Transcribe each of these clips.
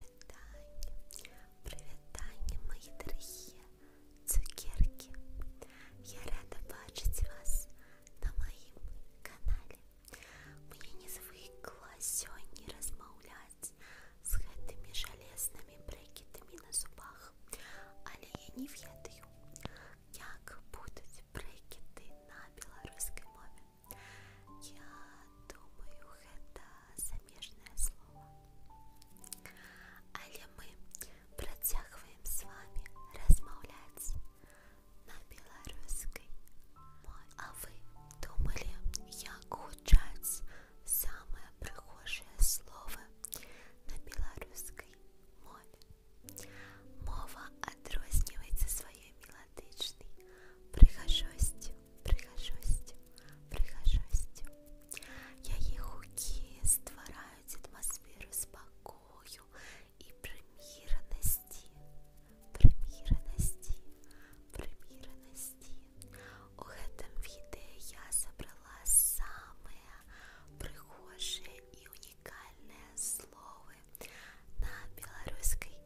Привет, привет, Таня, мої дорогі цукерки. Я рада бачити вас на моїм каналі. Мне не звикла сьогодні розмовляти з гэтымі жалезними брекетами на зубах, але я не ведаю, як будуть брекети на білоруській мові. Я думаю, гэта замежнае слова. Але мы працягваем з вами размаўляць на беларускай мове. А вы думалі, як гучаць самыя прыгожыя словы на беларускай мове? Мова адрозніваецца сваёй меладычнай прыгажосцю прихожості, прихожості. Яї гуки створяють атмосферу спокою і примірності, примірності, примірності. У этом відео я забрала саме прихоже і унікальне слово на білоруській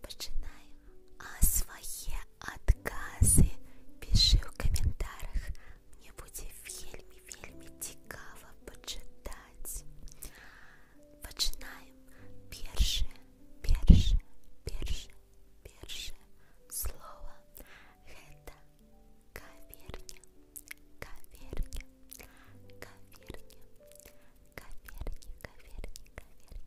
Починаємо. А свої откази пиши в коментарях. Мені буде вельми, вельми цікаво почитати. Починаємо. Перше, перше, перше, перше слово. Это каверня, каверня, каверня, каверня, каверня, каверня,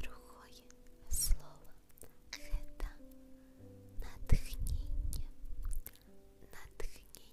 другое слово это надхнение, надхнение,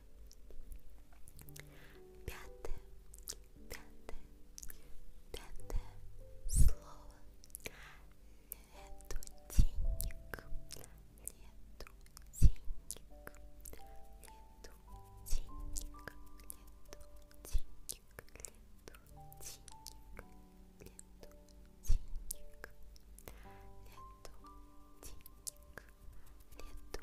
Пятое, пятое, пятое слово. Нету денег, нету денег, нету денег, нету денег, нету денег, нету денег, нету денег, нету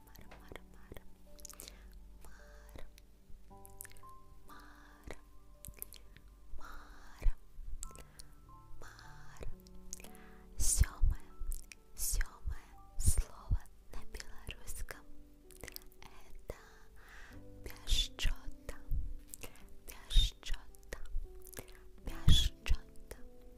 мар, мар, мар, мар, мар, мар, мар. Сьоме, сьоме слово на белорусском это пяшчота, пяшчота, пяшчота.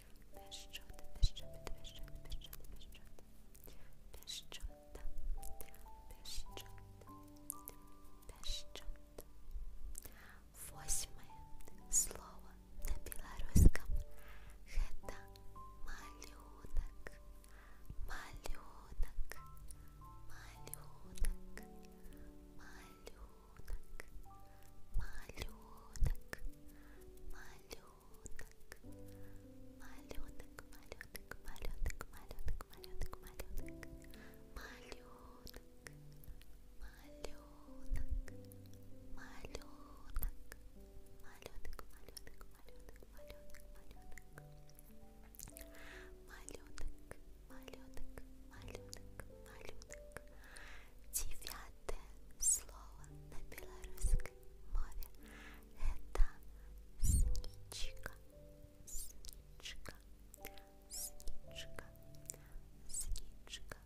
пещота, пещота, пещота, пещота, пещота, пещота, пещота, пещота. Восьмое слово на белорусском это малюнок, малюнок, малюнок, малюнок, малюнок, малюнок малюток, малюток, малюток, малюток, малюток, малюток, малюток, малюток, малюток, малюток, малюток, малюток, малюток, малюток, малюток, малюток, малюток, малюток. Девятое слово на белорусском мове. Это сничка, сничка, сничка, сничка, сничка,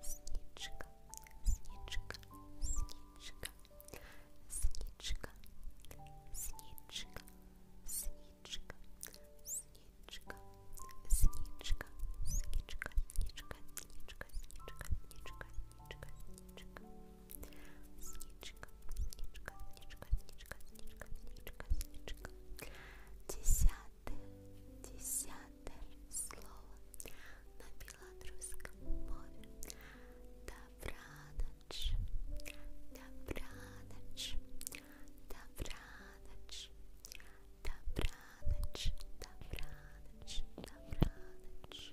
сничка, сничка, сничка, сничка, сничка, сничка, сничка, сничка, сничка, сничка, сничка, сничка, сничка, сничка, сничка, сничка, сничка, сничка, сничка, сничка, сничка, сничка. Десятое, десятое слово на белорусском море. Добраноч, добраноч, добраноч, добраноч, добраноч, добраноч. Добраноч,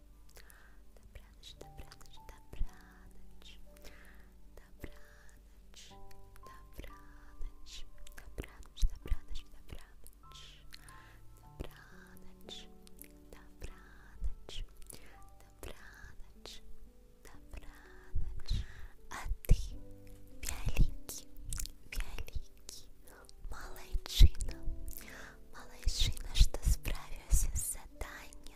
добраныч, добраныч, добраныч, добраныч, добраныч, добраныч, добраныч, добраныч, добраныч, добраныч, добраныч, добраныч, добраныч, а ты великий, великий, малайчина, малайчина, что справился с заданием.